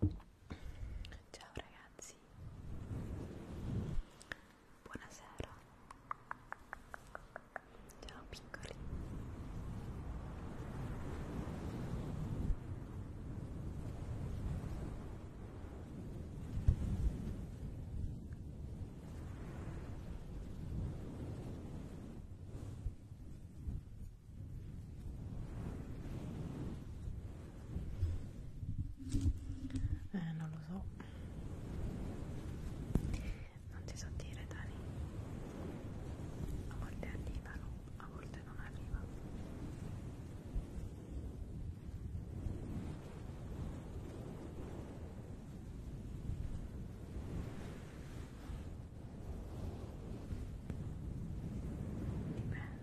Ciao ragazzi, buonasera, ciao piccoli. Ciao eh, non lo so. Non ti so dire, Dani. A volte arrivano, a volte non arrivano. Dipende.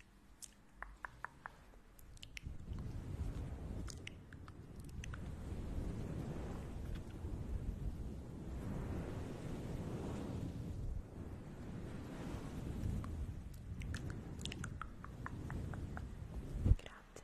Grazie Mary. Grazie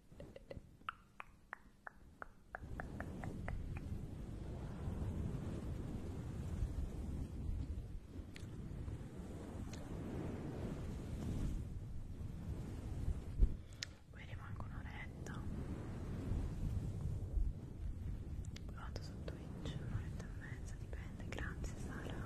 Poi rimango un'oretta. Vado su Twitch, un'oretta e mezza, dipende. Grazie Sara.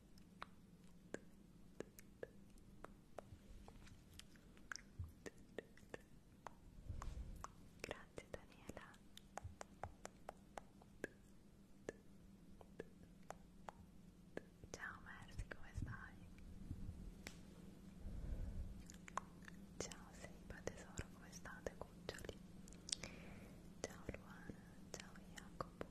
Grazie Daniela. Ciao Mercy, come stai? Ciao Seiba tesoro, come state cuccioli? Ciao Luana, ciao Jacopo.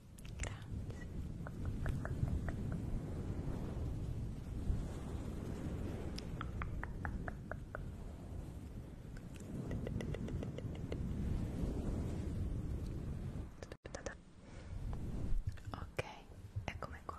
Aspettate. Ok, eccomi qua.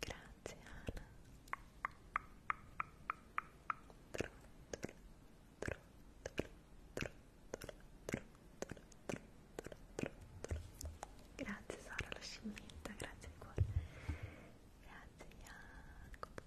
Grazie Anna. Grazie Sara la scimmietta, grazie di cuore. Grazie Jacopo.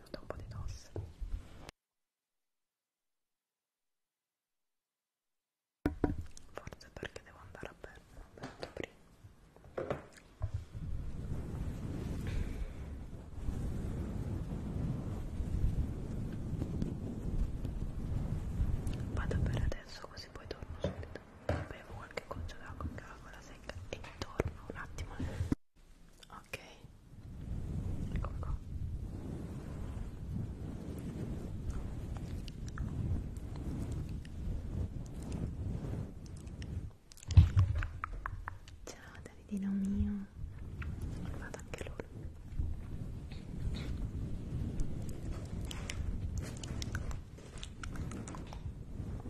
mi è venuta un po' di tosse forse perché devo andare a bere un momento prima vado a bere adesso così poi torno subito bevo qualche goccia d'acqua in cavola secca e torno un attimo Ok, eccolo qua. Ciao Davidino mio, è arrivato anche lui.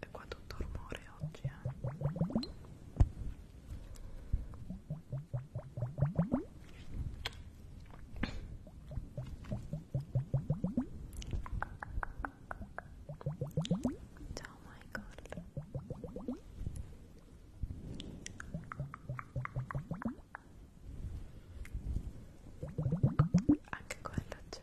E qua tutto rumore oggi, eh? Oh my god. Anche quello c'è.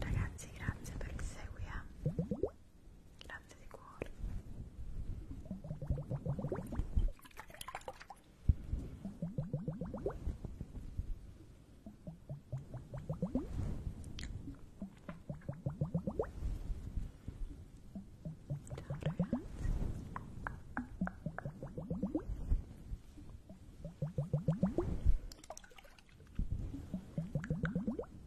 Ragazzi, grazie per il seguito. Grazie di cuore. Ciao ragazzi. Ciao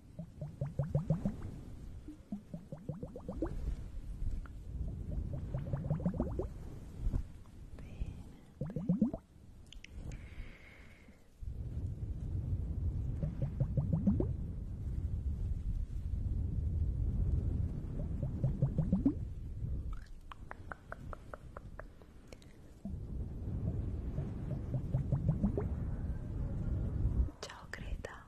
Ciao Greta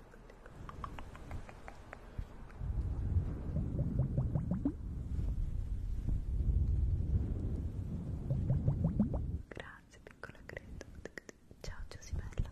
Grazie piccola Greta. Ciao Giusibella. Ciao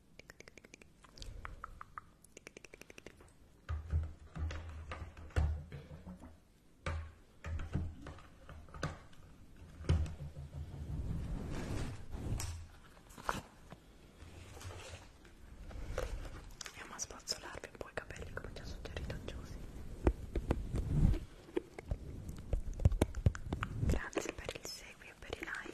Andiamo a spazzolarvi un po' i capelli come ti ho suggerito Giusy Grazie per il seguito e per i like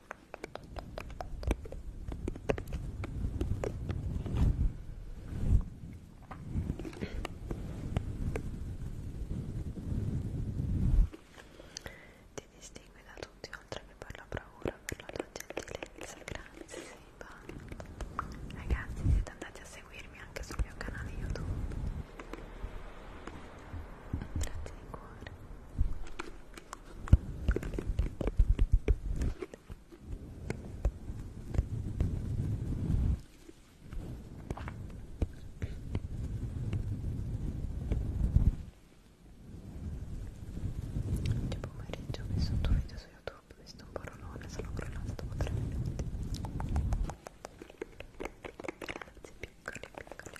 Ti distingui da tutti oltre che per la bravura, per la tua gentilezza. Grazie, Siba. Ragazzi, siete andati a seguirmi anche sul mio canale YouTube. Grazie di cuore. Oggi pomeriggio ho messo un tuo video su YouTube, ho visto un porolone, sono crollata dopo 3 minuti. Grazie piccoli, piccoli, piccoli.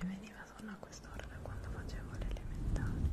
Mi veniva sonno a quest'ora da quando facevo le elementari.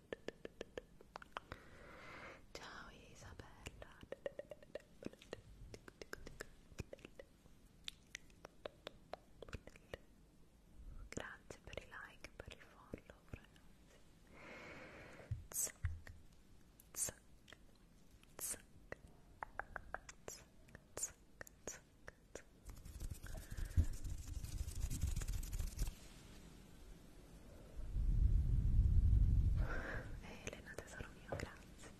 Ciao Isabella. Grazie per i like, per il follow, Eh, Elena tesoro mio, grazie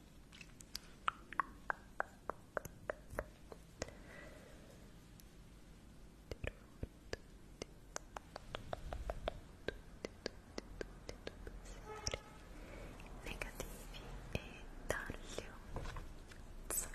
negativi e taglio Zac.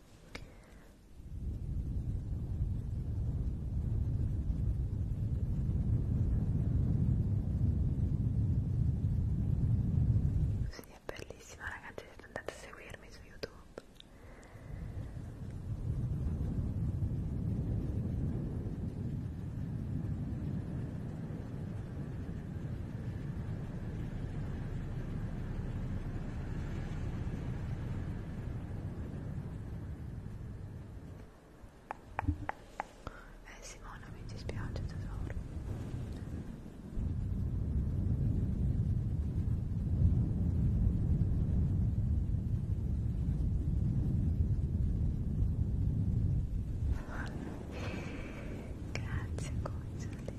Sì, è bellissima ragazzi, siete andati a seguirmi su YouTube. Sì, eh Simona mi dispiace tesoro Grazie Gonzalo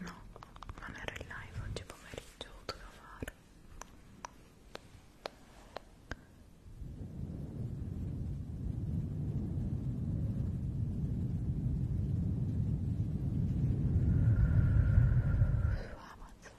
No, non ero in live oggi pomeriggio, ho dovuto fare. Su Amazon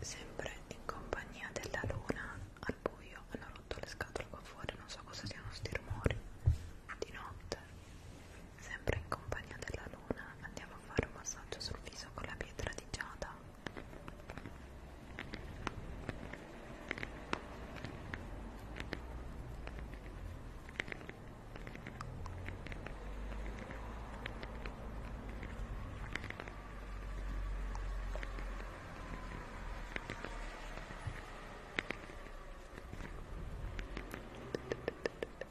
Sempre in compagnia della luna al buio hanno rotto le scatole qua fuori, non so cosa siano sti rumori di notte. Sempre in compagnia della luna andiamo a fare un massaggio sul viso con la pietra di giada.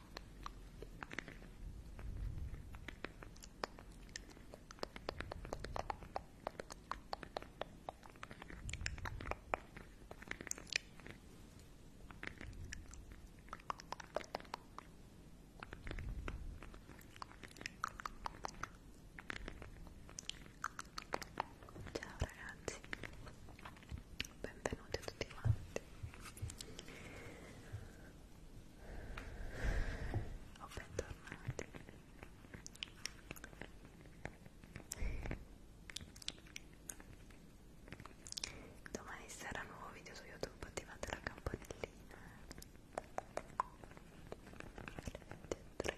Ciao ragazzi, benvenuti a tutti quanti o bentornati domani sarà nuovo video su youtube attivate la campanellina Ciao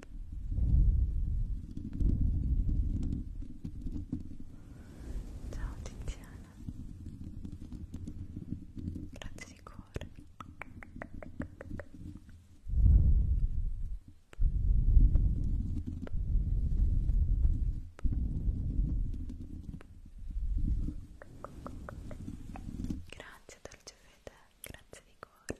Ciao Tiziana, grazie di cuore. Grazie Dolce Fede, grazie di cuore.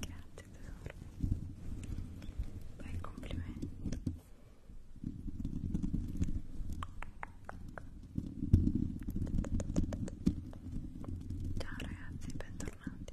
Grazie tesoro. Bel complimento. Ciao ragazzi, bentornati.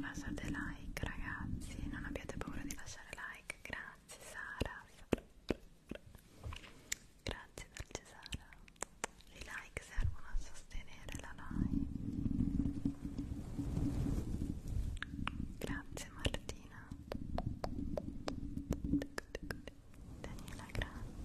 Lasciate like ragazzi, non abbiate paura di lasciare like, grazie Sara. Grazie dolce Sara. I like servono a sostenere la live. Grazie Martina. Daniela, grazie.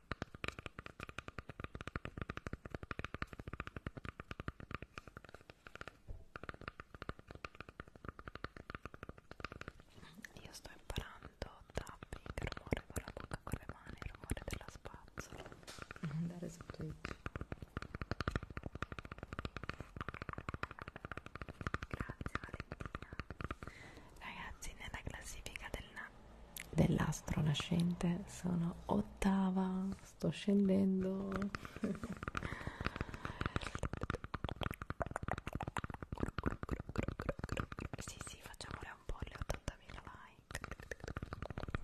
Io sto imparando tapping, rumore con la bocca con le mani, il rumore della spazzola. Andare su Twitch. Grazie Valentina. Ragazzi, nella classifica del, dell'astro nascente sono ottava sto scendendo sì sì facciamole un po' le 80.000 like non l'ho fatto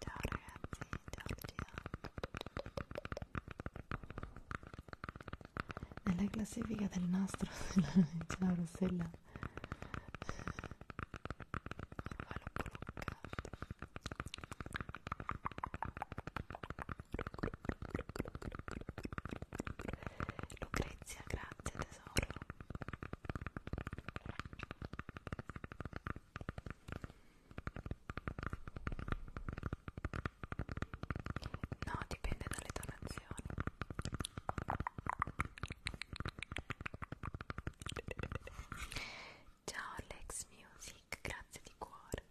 Ciao ragazzi, la del nastro se la Lucrezia, grazie tesoro. No, dipende dalle donazioni. Ciao Alex Music, grazie di cuore.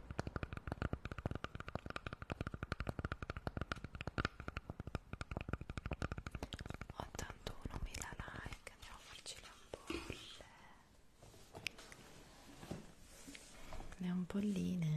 81.000 like, andiamo a farci le ampolle le ampolline le ampolline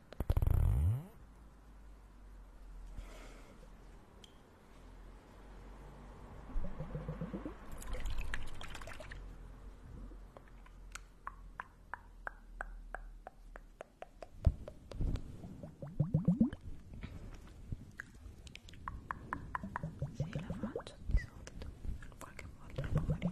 Sì, la faccio di solito, qualche volta la faccio.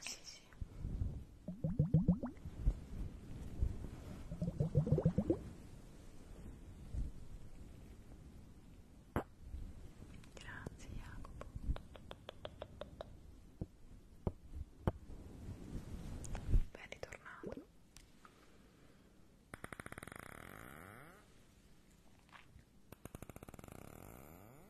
Sì, sì. Grazie Jacopo. Ben ritornato.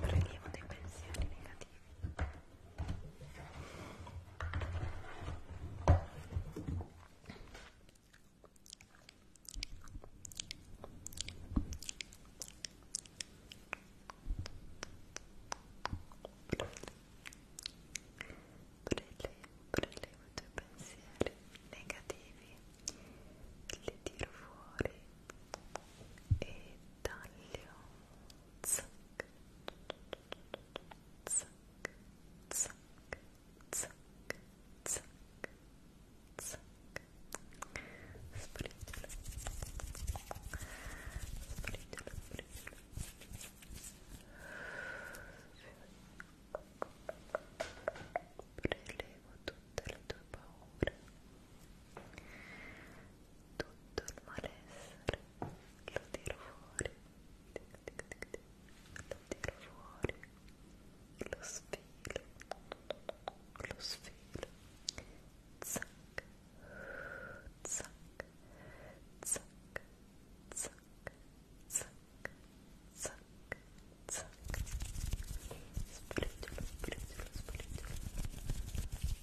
Prelievo dei pensieri negativi. Prelevo, prelevo i tuoi pensieri negativi, li tiro fuori e taglio zac, zac, zac, zac, zac, zac. Sprigiolo. Sprigiolo, sprigiolo. Prelevo tutte le tue paure tutto il malessere lo tiro fuori lo tiro fuori lo sfilo lo sfilo zac zac zac zac zac zac zac spreggiolo spreggiolo spreggiolo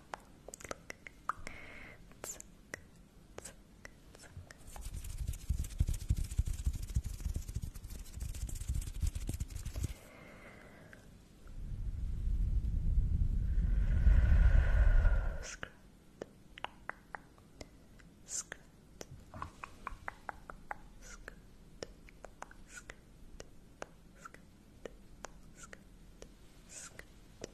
It's so good. It's so good. It's so good. Skirt. Skirt. Skirt. Skirt.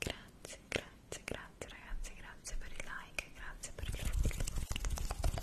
Grazie, grazie, grazie ragazzi, grazie per i like, grazie per il follow. Grazie,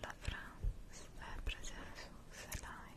La France è presente su Selai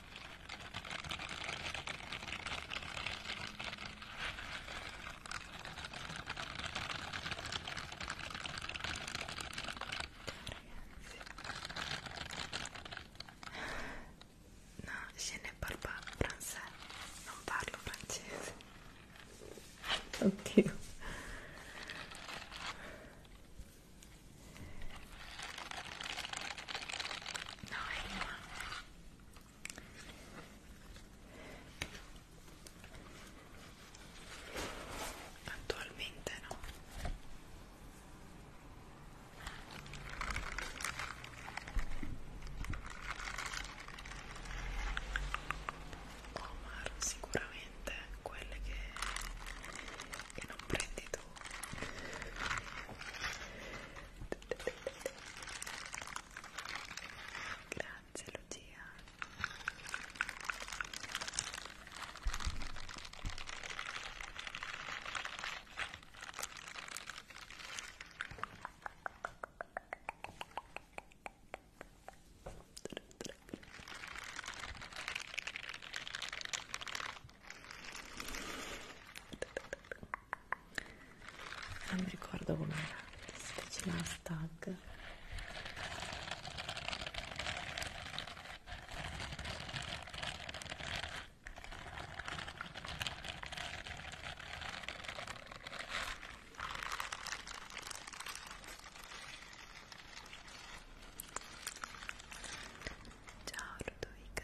No, je ne parle pas français, non parlo francese. Oddio. No, Emma. Attualmente no. Omar, sicuramente quelle che, che non prendi tu Grazie Lucia non mi ricordo com'era si faceva hashtag Ciao Ludovica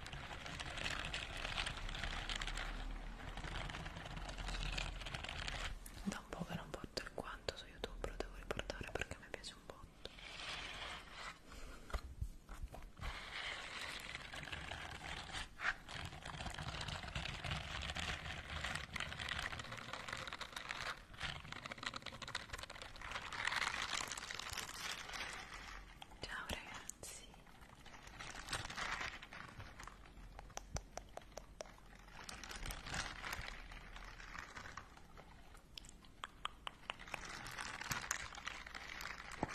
da un po' che non porto il quanto su youtube lo devo riportare perché mi piace un botto Ciao ragazzi.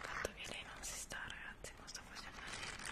Tanto via lei non si sta ragazzi, non sta facendo niente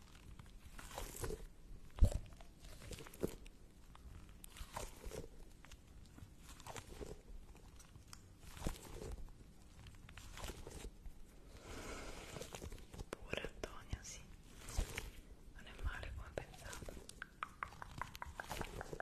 Pure Antonia, sì. Non è male come pensavo. Questa qui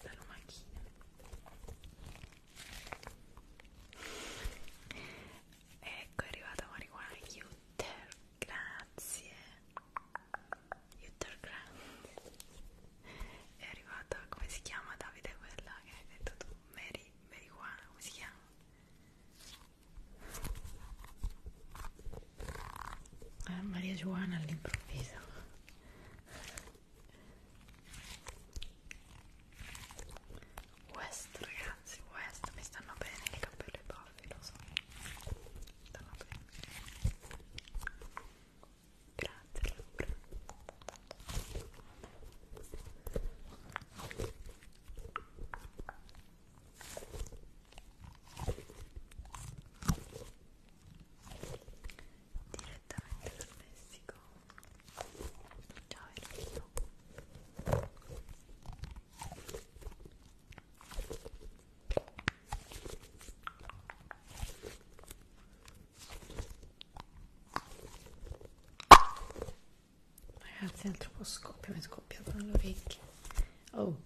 la lumachina ecco è arrivata marijuana Yutter grazie Yutter grazie è arrivata, come si chiama Davide quella che hai detto tu? Mary, Mary Juana, come si chiama? Ah, Maria Giovanna all'improvviso West ragazzi, West, mi stanno bene i capelli baffi, lo so stanno bene Grazie Laura. Direttamente dal Messico. Ciao Ernesto. Ciao Ragazzi, altro po' scoppio, mi scoppiavano le orecchie. Oh,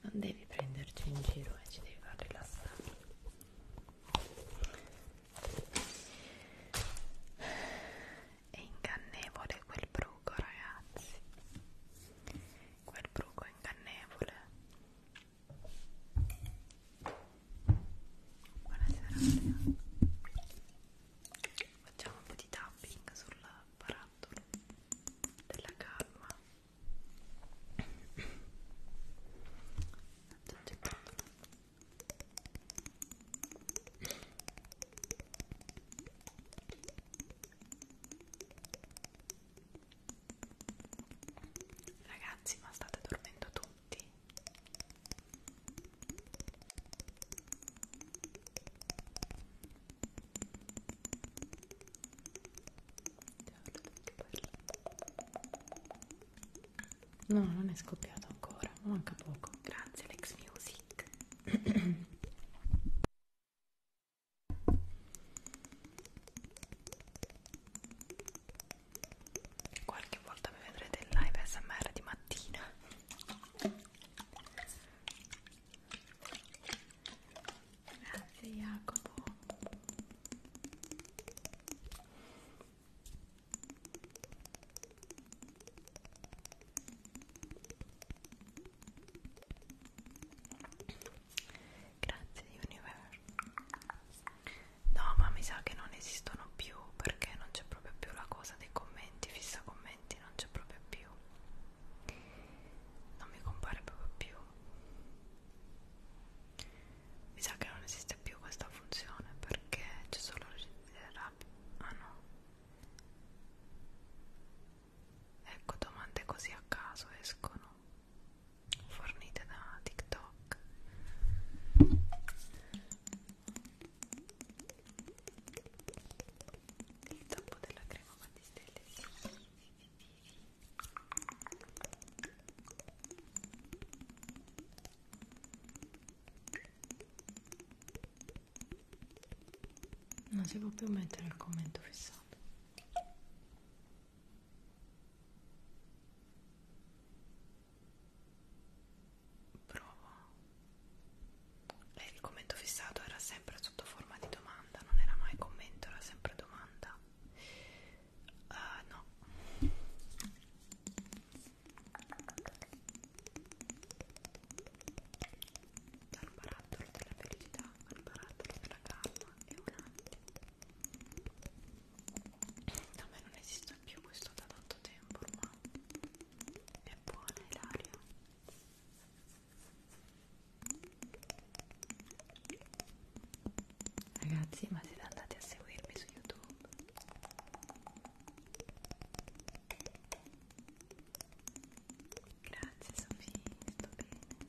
non devi prenderci in giro e eh, ci devi far rilassare. È ingannevole quel bruco, ragazzi. Quel bruco è ingannevole. Buonasera Maria. Facciamo un po' di tapping sul barattolo della calma. Ragazzi, ma state dormendo tutti? tutti No, non è scoppiato ancora, manca poco. Grazie Alex Music qualche volta mi vedrete in live smr di mattina grazie Jacopo grazie Universe no ma mi sa che non esistono più perché non c'è proprio più la cosa dei commenti fissa commenti non c'è proprio più non mi compare proprio più mi sa che non esiste più questa funzione perché c'è solo rap eh, ah no ecco domande così a caso escono fornite da TikTok il tappo della crema battistelli non si può più mettere il commento fissato Provo. E eh, il commento fissato era sempre sotto forma di domanda, non era mai commento, era sempre domanda. Uh, no. Dal barattolo della felicità al barattolo della calma e un attimo da me non esiste più questo da tanto tempo ormai è buona Ilaria ragazzi ma siete andati a seguirmi su youtube grazie Sofì sto bene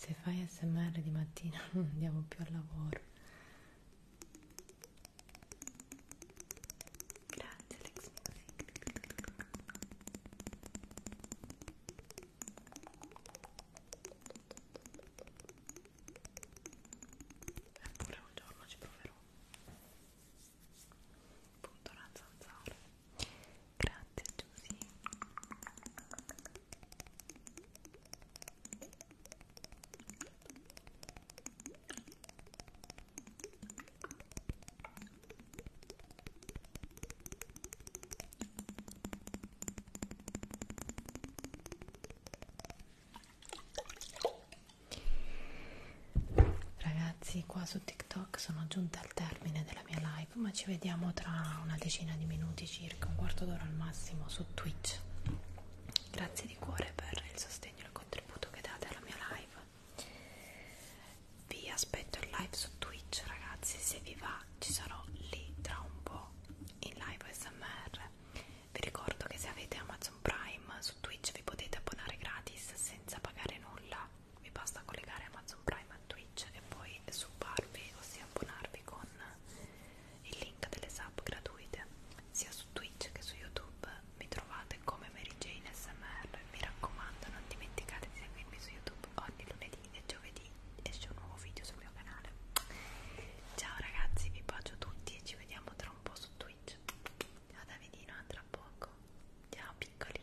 Se fai smr di mattina non andiamo più al lavoro. Grazie Alex Eppure un giorno ci proverò. Punto la zanzara. Grazie Giusy. Ragazzi, qua su TikTok sono giunta al termine della mia live, ma ci vediamo tra una decina di minuti circa, un quarto d'ora al massimo su Twitch. Grazie di cuore per il sostegno e il contributo che date alla mia live. Vi aspetto in live su Twitch, ragazzi, se vi va ci sarò lì tra un po' in live SMR. Vi ricordo che se avete Amazon Prime su Twitch vi potete abbonare gratis senza pagare nulla vi basta collegare Amazon Prime a Twitch e poi subarvi, ossia abbonarvi con il link delle sub gratuite sia su Twitch che su YouTube mi trovate come Mary Jane SMR mi raccomando non dimenticate di seguirmi su YouTube ogni lunedì e giovedì esce un nuovo video sul mio canale ciao ragazzi vi bacio tutti e ci vediamo tra un po' su Twitch ciao Davidino a tra poco ciao piccoli